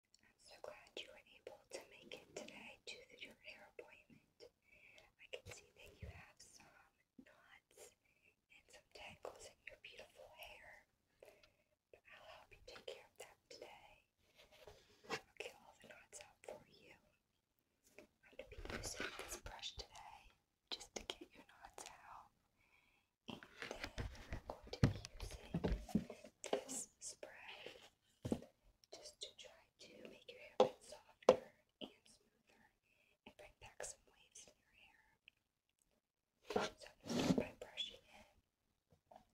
I'm so glad you were able to make it today to your hair appointment. I can see that you have some knots and some tangles in your beautiful hair. But I'll help you take care of that today. I'll get all the knots out for you. I'm going to be using this brush today just to get your knots out. And then I'm going to be using this spray just to try to make your hair a bit softer and smoother and bring back some waves in your hair. So I'm going to start by brushing it.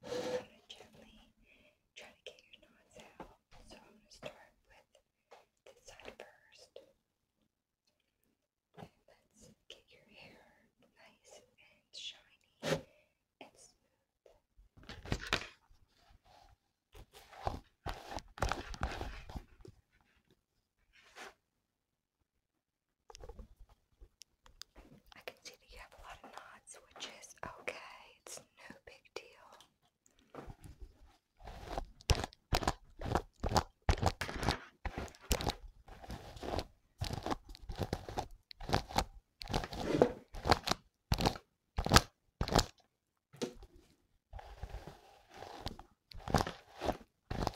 I'm going to gently try to get your knots out. So I'm going to start with this side first. let's get your hair nice and shiny I can see that you have a lot of knots, which is okay. It's no big deal. It's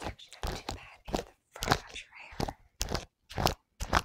actually not too bad in the front of your hair. Okay.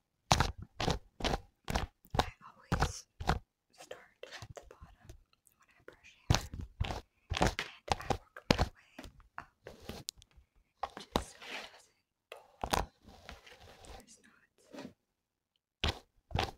I always start at the bottom when I brush hair, and I work my way up, just so it doesn't there's knots.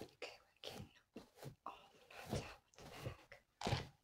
Okay, we can. Oh, not out with the bag.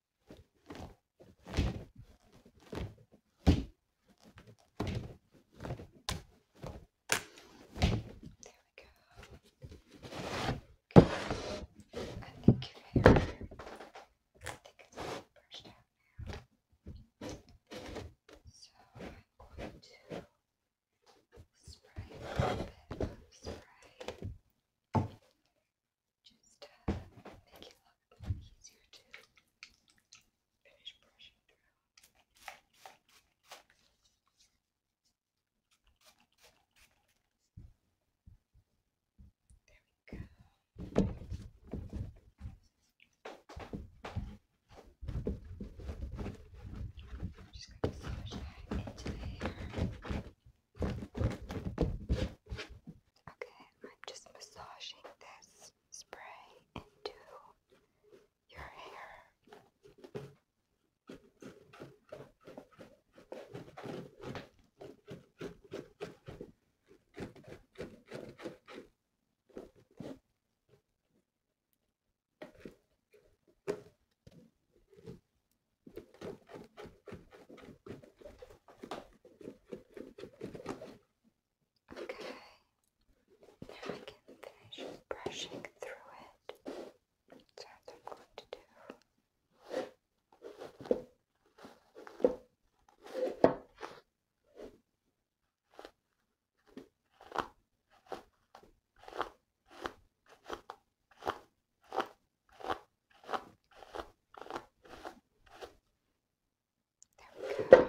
go. Okay. I think you're here. I think it's the first down now. So I'm going to spray a little bit of spray just uh, make it look easier to finish brushing through. There we go. just going to push into the hair. Okay, I'm just massaging this spray into your hair. Okay, now I can finish brushing through it. That's what I'm going to do we go.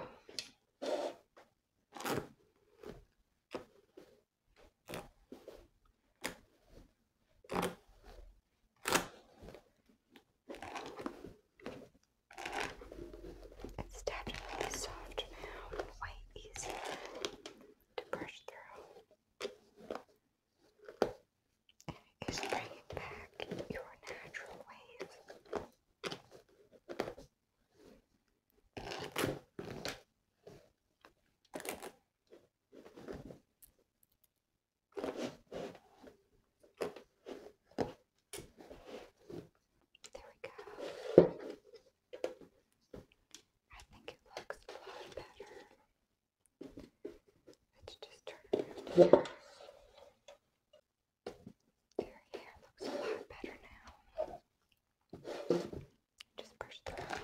It's definitely soft now, way easier to brush through is bringing back your natural ways. There we go. I think it looks a lot better. Let's just turn around here. Your hair looks a lot better now. Just brush through.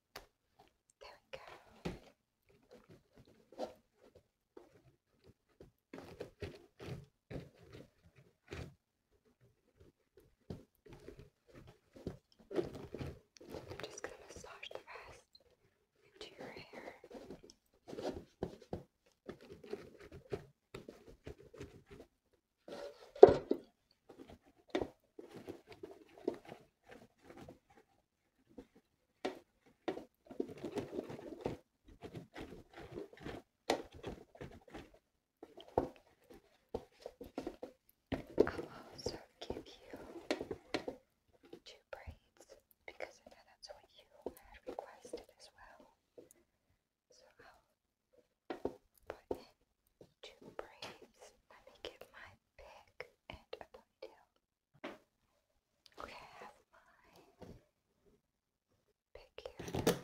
There we go. I'm just going to massage the rest into your hair. I'll also give you two braids because I know that's what you had requested as well. So I'll put in two braids. Let me get my pick and a ponytail. Okay, I have my pick here.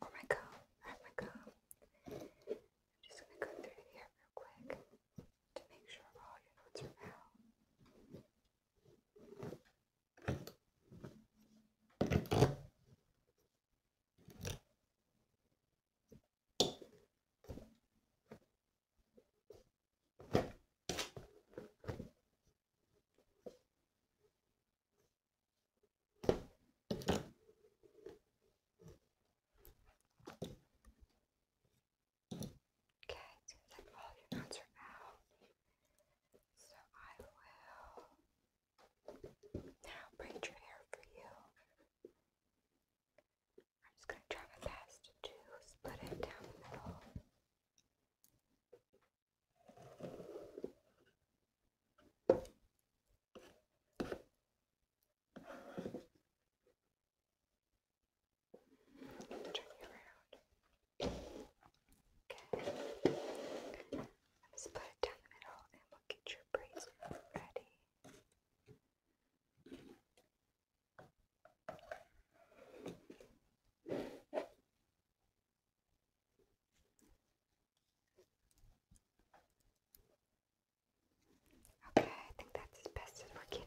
Oh my comb, I have my comb. I'm just gonna go through here real quick to make sure all your notes are out. Okay, so like all oh, your nuts are out. So I will now braid your hair for you. I'm just going to try my best to split it down the middle. Turn it around. Okay. split it down the middle and we'll get your braids ready. Okay, I think that's as best as we're getting.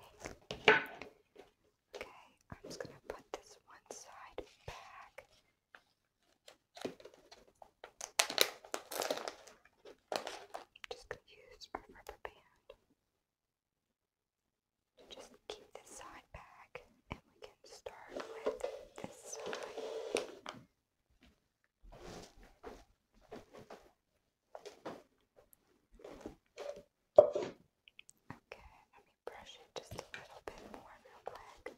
Okay, I'm just gonna put this one side back. I'm just going to use a rubber band just keep this side back and we can start with this side. Okay, let me brush it just a little bit more real quick.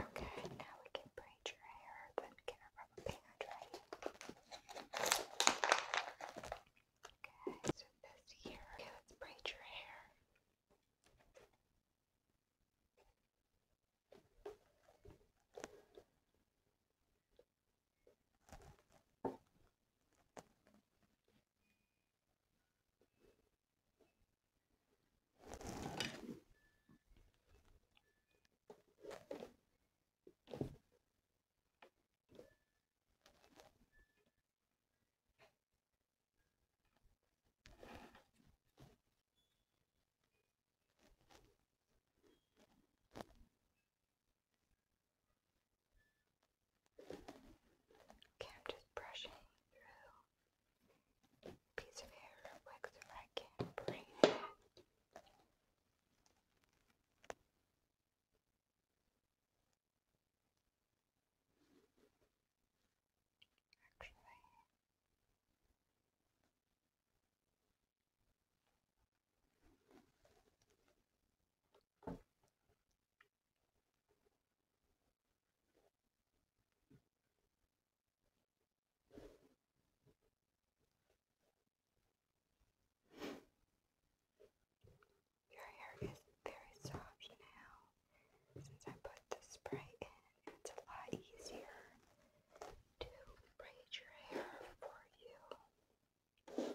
Okay, now we can braid your hair, then get a rubber band, right? Okay, so this here. Okay, let's braid your hair. Okay, Okay, I'm just brushing through piece of hair like so I can braid it. Actually, your hair is very soft now since I put the spray in. It's a lot easier to braid your hair for you.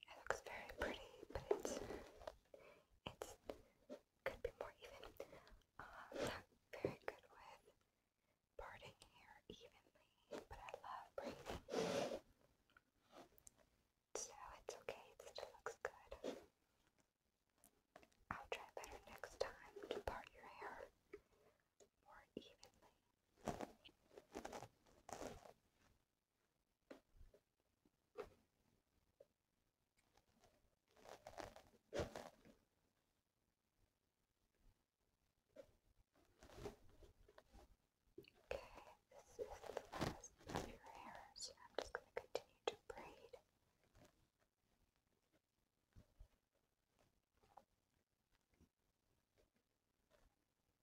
It looks very pretty, but it's it's could be more even. Uh, not very good with parting hair evenly, but I love braiding. So it's okay, it still looks good. I'll try better next time to part your hair more evenly. Okay, this is the last of your hair, so I'm just going to continue to braid.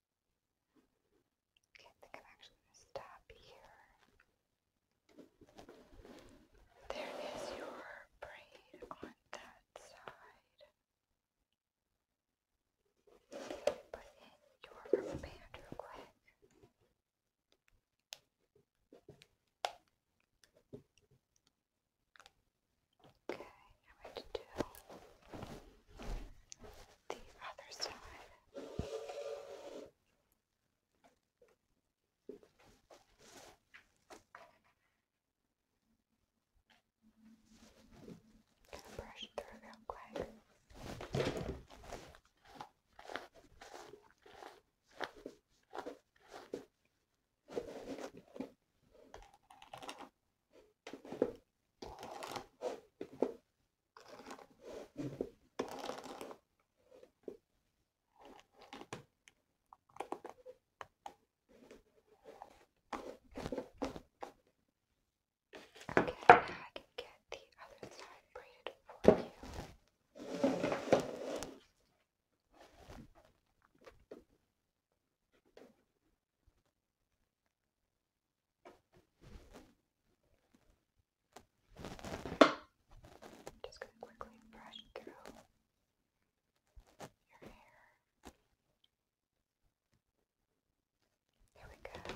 Okay, I think I'm actually going to stop here. There is your braid on that side. Put in your rubber band real quick. Okay, now I have the other side. Gonna brush through real quick. Okay, now I can get the other side braided for you. Okay. I'm just going to quickly brush through your hair. There we go.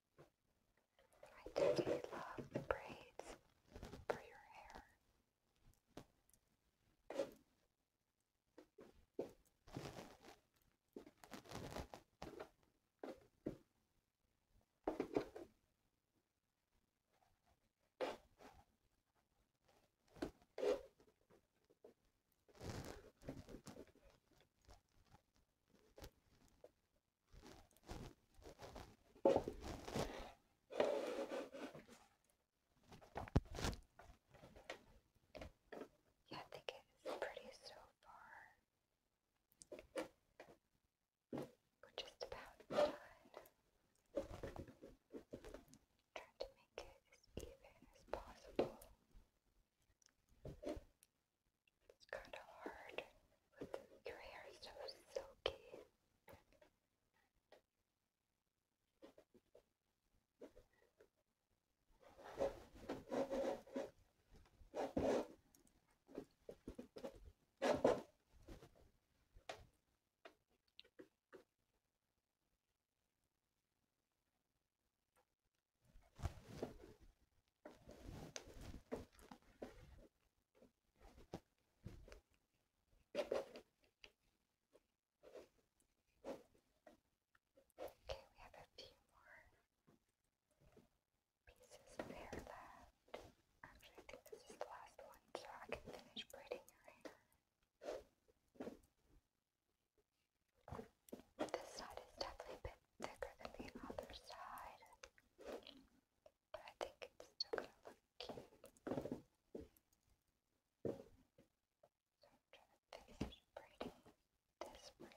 I definitely love the braids for your hair. Yeah, I think it's pretty so far. We're just about done. Trying to make it as even as possible. It's kind of hard with your hair so silky. Okay, we have a few more pieces of hair left. Actually, I think this is the last one, so I can finish braiding your hair. This side is definitely a bit thicker than the other side, but I think it's still going to look cute. So I'm trying to finish braiding this for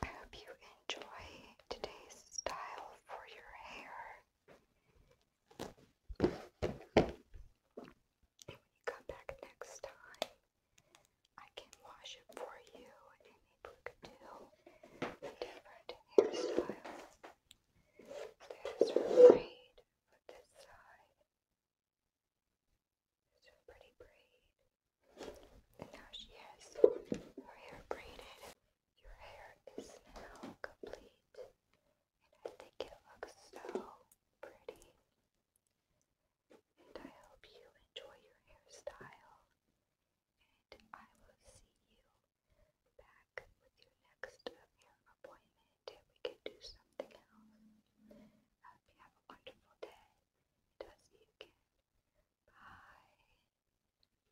I hope you enjoy today's style for your hair. And you come back next time, I can wash it for you and maybe we different hairstyle. There's her braid for this side. There's pretty braid. And now she has her hair braided. Your hair is now complete, and I think it looks so pretty. And I hope you enjoy your hairstyle, and I will see you back with your next hair appointment if we can do something else. I hope you have a wonderful day, and I'll see you again. Bye.